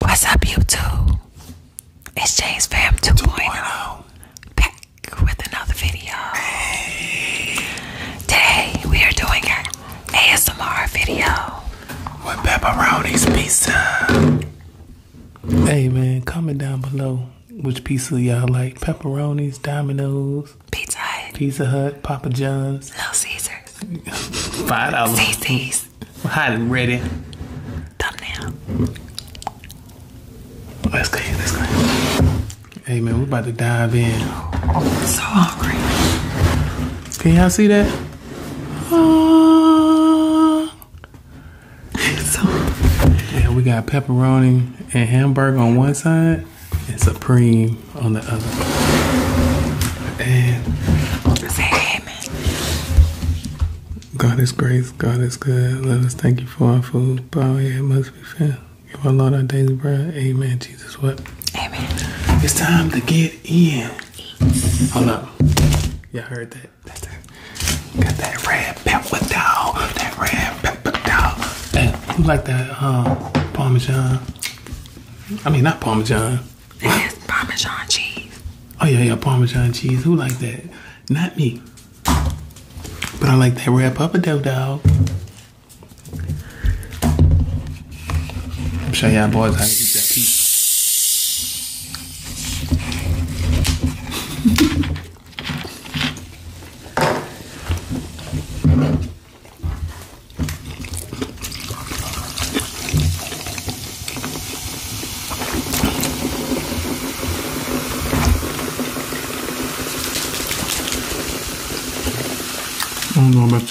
What's up, YouTube? It's James Fam 2.0 back with another video. Today we are doing an ASMR video with pepperoni's pizza. Hey man, comment down below which pizza y'all like: pepperonis, Domino's, Pizza Hut, Pizza Hut, Papa John's, Little Caesars, five dollars, please. Hi, ready. Oh, Thumbnail. Let's go. Let's go. Hey man, we're about to dive in. i so hungry. Can y'all see that? Uh, so yeah, we got pepperoni and hamburger on one side, and supreme on the other. And. God is grace. God is good. Let us thank you for our food. Power here must be found. Give our Lord our daily bread. Amen. Jesus, what? Amen. It's time to get in. Hold up. Y'all heard that? That's that. Got that red pepper dog. That red pepper dog. like that um, Parmesan. I mean, not Parmesan it's Parmesan cheese. Oh yeah, yeah, Parmesan cheese. Who like that? Not me. But I like that wrap up a dough dog. I'm showing y'all boys how to eat that piece.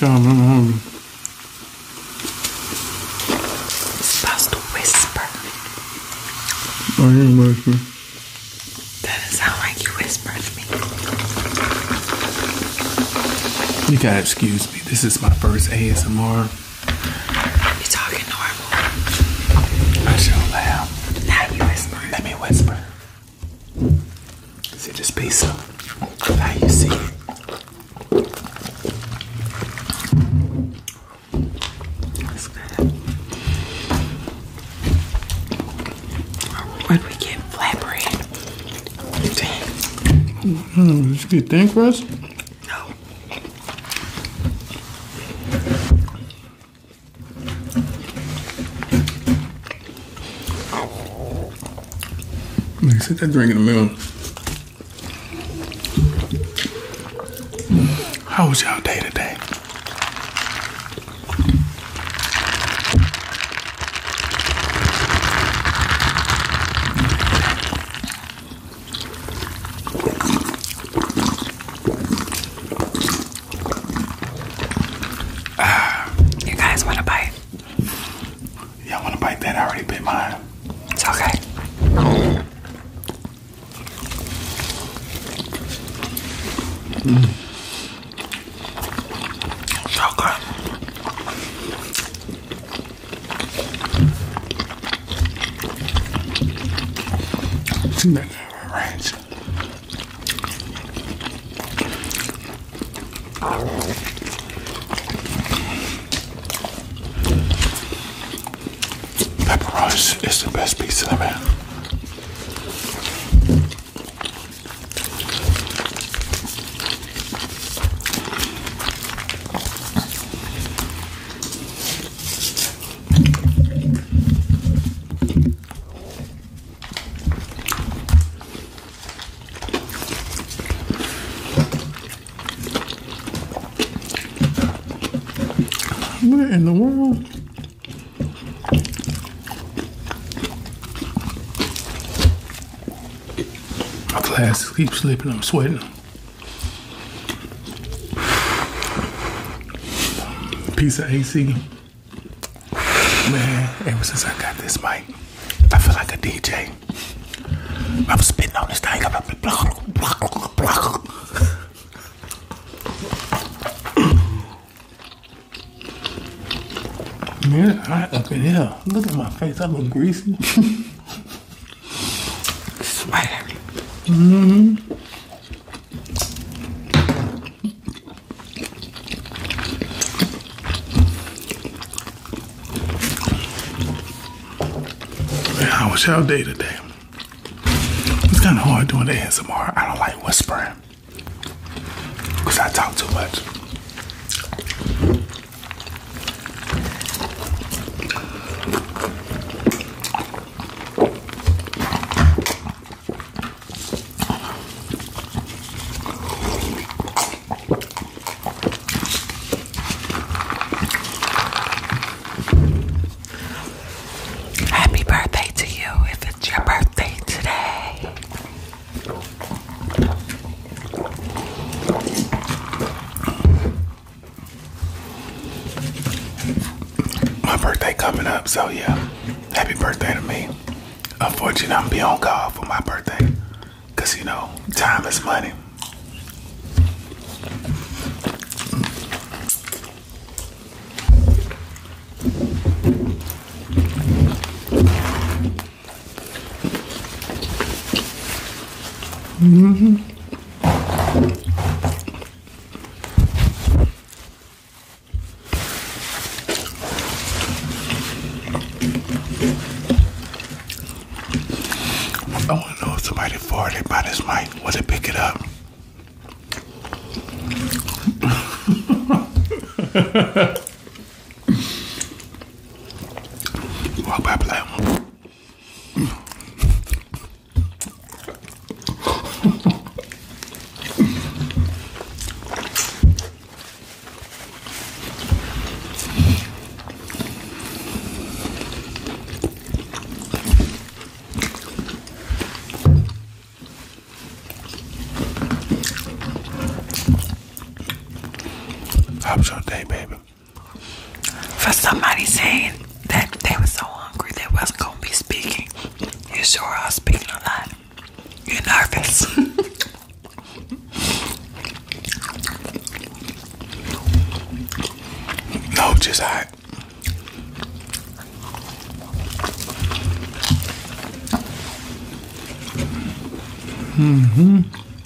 I'm han... supposed to whisper. I am whisper. That doesn't sound like you whispered to me. You gotta excuse me. This is my first ASMR you talking normal? I sure am. Now you whispering. Let me whisper. See this pizza? Now you see it. That's good. Where'd we get flatbread? Dang. Mm -hmm. Let's get thin crust. Mm-hmm. No. Like, sit that drink in the middle. How was y'all day today? you guys want to bite? Y'all want to bite that? I already bit mine. It's okay. Mm. So it's in that range. is the best piece of the man. What in the world? My class keep slipping, I'm sweating. Piece of AC. Man, ever since I got this mic, I feel like a DJ. I'm spitting on this thing. Man, up in here. Look at my face. I look greasy. sweating. Mm -hmm. how was your day today? It's kind of hard doing the ASMR. I don't like whispering because I talk too much. Happy birthday to you if it's your birthday today. My birthday coming up, so yeah. Happy birthday to me. Unfortunately, I'm be on call for my birthday. Cause you know, time is money. Mm-hmm. Oh, I want to know if somebody farted by this mic. Was it pick it up? Wow, blah, blah. Have a day, baby for somebody saying that they were so hungry they wasn't gonna be speaking. You sure are speaking a lot. You're nervous. no, just I. Mm hmm.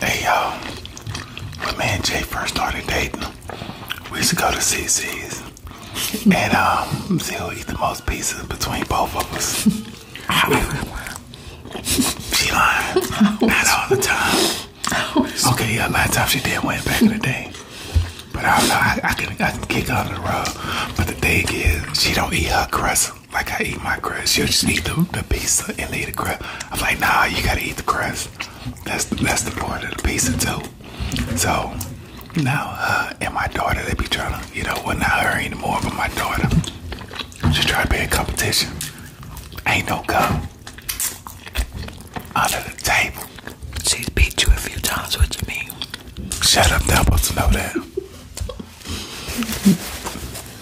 Hey y'all, when me and Jay first started dating, we used to go to CC's and um, who will eat the most pieces between both of us. she lying. Not all the time. Okay, yeah, a lot of times she did win back in the day. But I don't know, I, can, I can kick on the rug. But the thing is, she don't eat her crust like I eat my crust. She'll just eat the, the pizza and leave the crust. I'm like, nah, you gotta eat the crust. That's the, that's the point of the pizza too. So now, uh, and my daughter, they be trying to, you know, we're not her anymore, but my daughter. She trying to be in competition. Ain't no go. out of the table. She's beat you a few times, what you mean? Shut up, they're supposed to know that.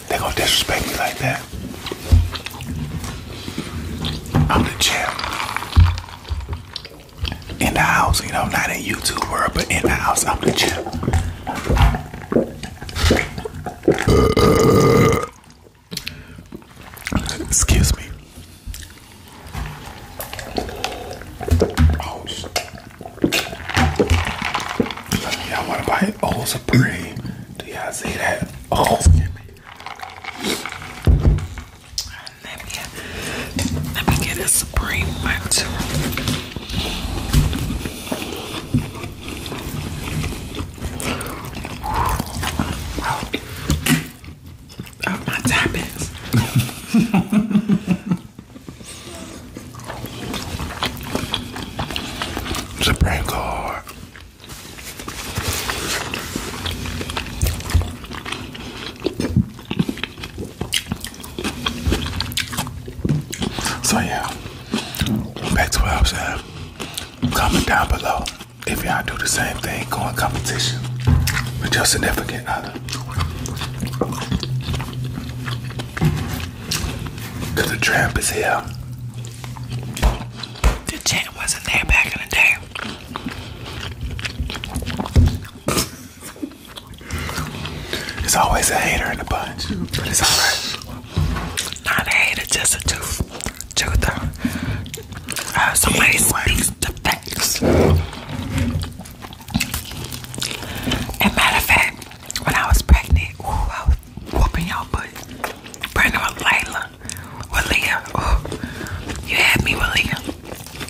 they gonna disrespect me like that. I'm the champ in the house, you know, not a YouTuber, but in the house, I'm the champ. excuse me. Oh, y'all want to buy Oh, Supreme? Do y'all see that? Oh, let me let me get a supreme one oh, oh, my tappings. Supreme Court. So yeah, back to what I was saying. Comment down below if y'all do the same thing, go in competition with your significant other. Cause the tramp is here. The tramp wasn't there back in the day. There's always a hater in the bunch, but it's alright. Not a hater, just a tooth. Truther. Uh, uh, somebody anyway. speaks the facts. matter of fact, when I was pregnant, I was whooping your butt. Pregnant with Layla, with Leah. you had me with Leah.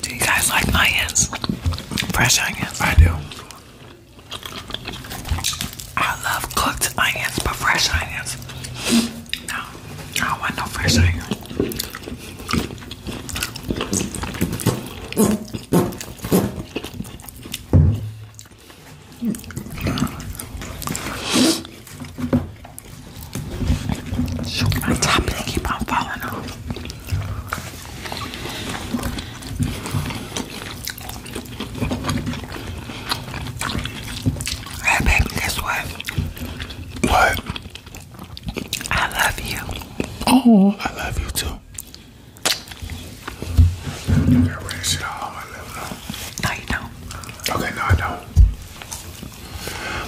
Do you guys like onions? Fresh onions? I do. I love cooked onions, but fresh onions. No, I want no fresh onions. Shoot, my top they keep on falling off. Hey baby, guess what? What? I love you. Oh, I love you too. No, you don't. Okay, no, I don't.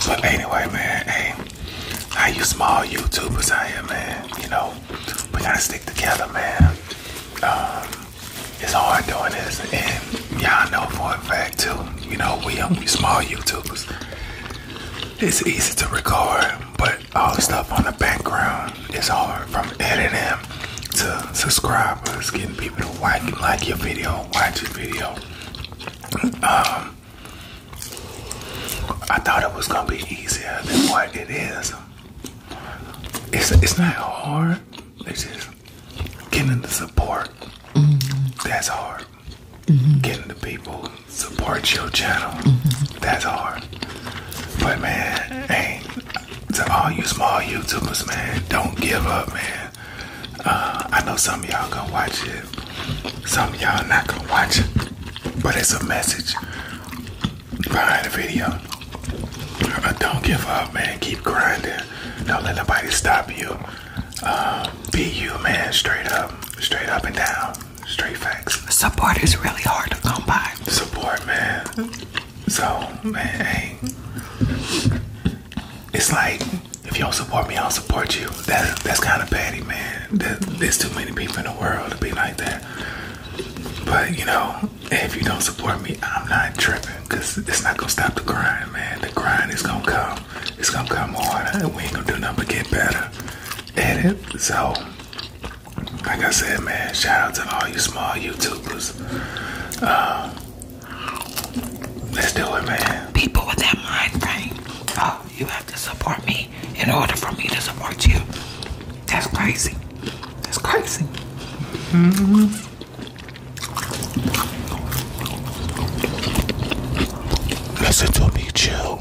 But anyway, man, hey, how you small YouTubers out here, man, you know, we gotta stick together, man. Um, it's hard doing this, and y'all know for a fact, too, you know, we, um, small YouTubers. It's easy to record, but all the stuff on the background it's hard from editing to subscribers, getting people to like, your video, watch your video. Um, I thought it was gonna be easier than what it is. It's it's not hard. It's just getting the support. That's hard. Getting the people support your channel. That's hard. But man, ain't to all you small YouTubers, man, don't give up, man. Uh, I know some y'all gonna watch it, some y'all not gonna watch it, but it's a message behind the video. Uh, don't give up, man. Keep grinding. Don't let nobody stop you. Uh, be you, man. Straight up, straight up and down, straight facts. Support is really hard to come by. Support, man. Mm-hmm. So, man, it's like if you don't support me, I'll support you. That that's kind of petty, man. That, there's too many people in the world to be like that. But you know, if you don't support me, I'm not tripping because it's not gonna stop the grind, man. The grind is gonna come. It's gonna come harder. We ain't gonna do nothing but get better at it. So like I said, man, shout out to all you small YouTubers. Um, let's do it, man. People with that mind frame, oh, you have to support me in order for me to support you. That's crazy. That's crazy. Listen to me, chill.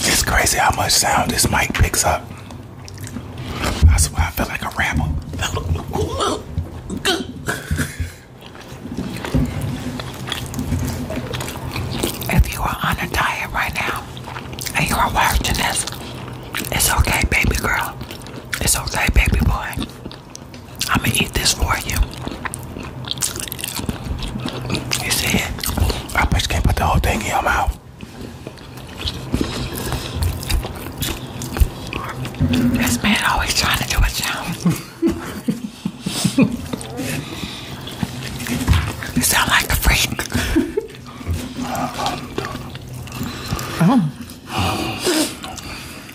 It's crazy how much sound this mic picks up. That's why I feel like a ramble. If you are on a diet right now and you are watching this, it's okay, baby girl. It's okay, baby boy. I'm gonna eat this for you. You see it? I just can't put the whole thing in your mouth. This man always trying to do a challenge. You sound like a freak. Oh.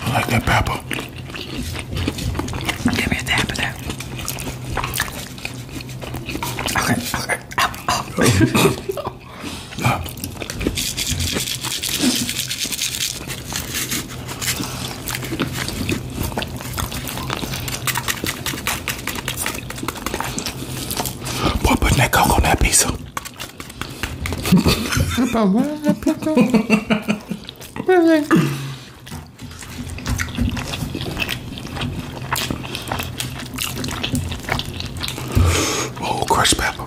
I like that pepper. Give me a tap of that. Okay, okay. Boy, putting that coke on that pizza. oh, crushed pepper.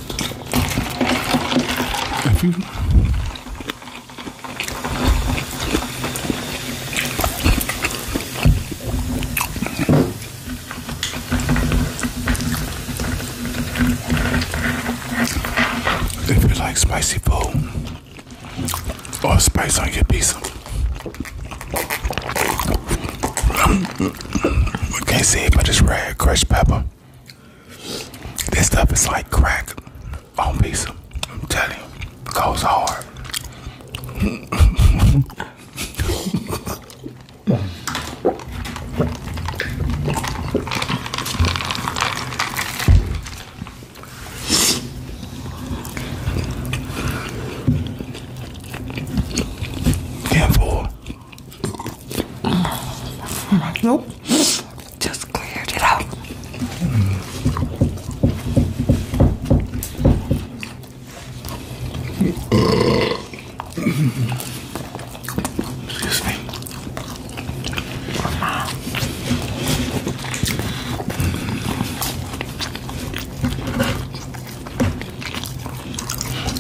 If you like spicy food or spice on your pizza. I can't see it, but it's red crushed pepper. This stuff is like crack on pizza. I'm telling you, it goes hard. Can't Nope. Just cleared it out. Excuse me.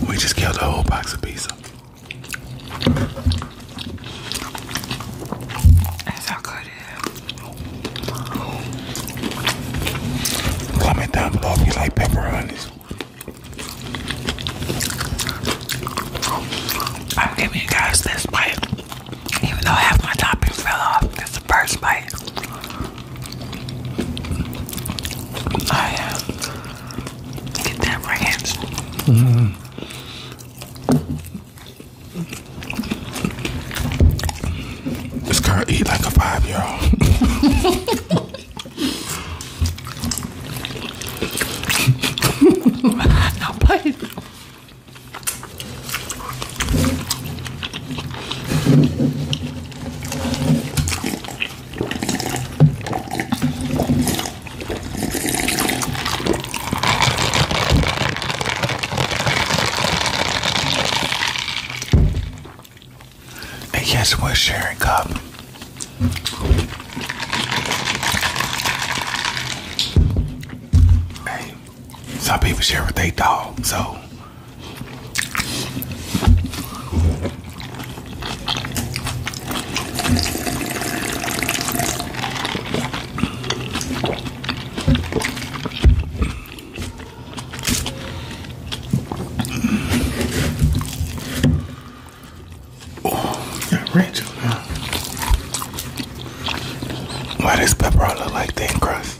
We just killed a whole box of pizza. That's how good it is. Comment down below if you pepperonis. I'm giving guys this bite, even though half my topping fell off. It's the first bite. I uh, get that ranch. Mm-hmm. This girl eat like a five year old. now play. I guess we're sharing cup. Hey, some people share what they dog, so Oh, yeah, Rachel. Huh? Why does pepperoni look like thin crust?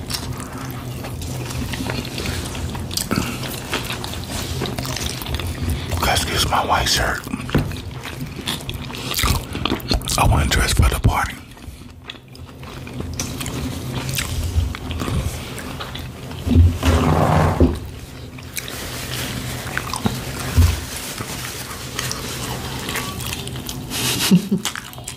Let's use my white shirt. I want to dress for the party.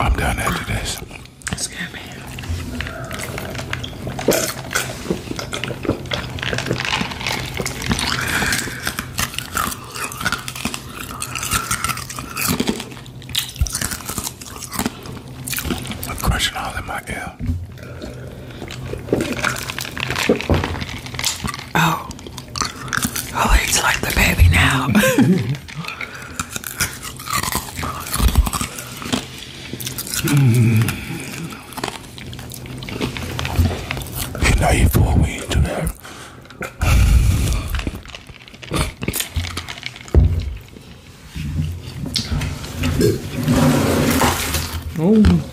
I'm done after this. Excuse I'm crushing all in my ear. Oh. he's oh, like the baby now. mm. You know you fool me Oh.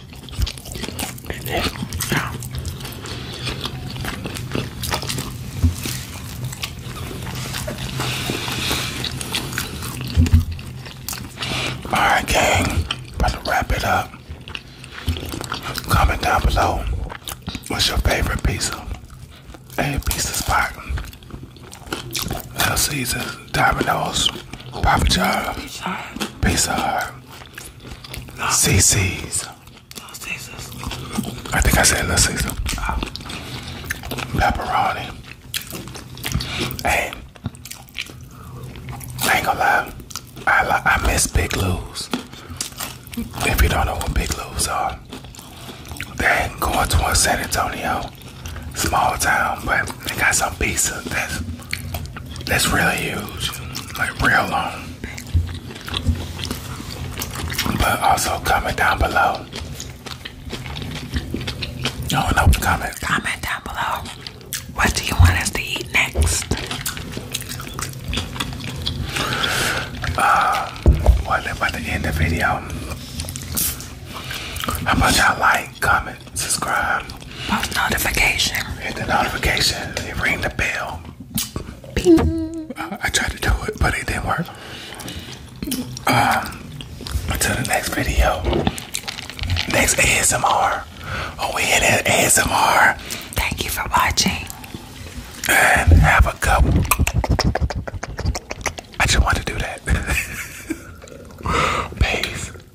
Alright gang, about to wrap it up. Comment down below what's your favorite pizza and pizza spot. Little Caesars, Domino's, Papa John's, Pizza Hut. CC's. I think I said Little Caesar. Pepperoni. Hey, I ain't gonna lie. I, I miss Big Lou's. If you don't know what Big Lou's are, they ain't going towards San Antonio. Small town, but they got some pizza that's that's really huge, like real long. But also comment down below. I want to comment. Comment down below. What do you want us to eat next? Uh, well, about to end the video. How much I like, comment subscribe, post notification, hit the notification, ring the bell. I, tried to do it, but it didn't work. Um, until the next video, next ASMR. Oh, we hit it ASMR. Thank you for watching. And have a cup. I just want to do that. Peace.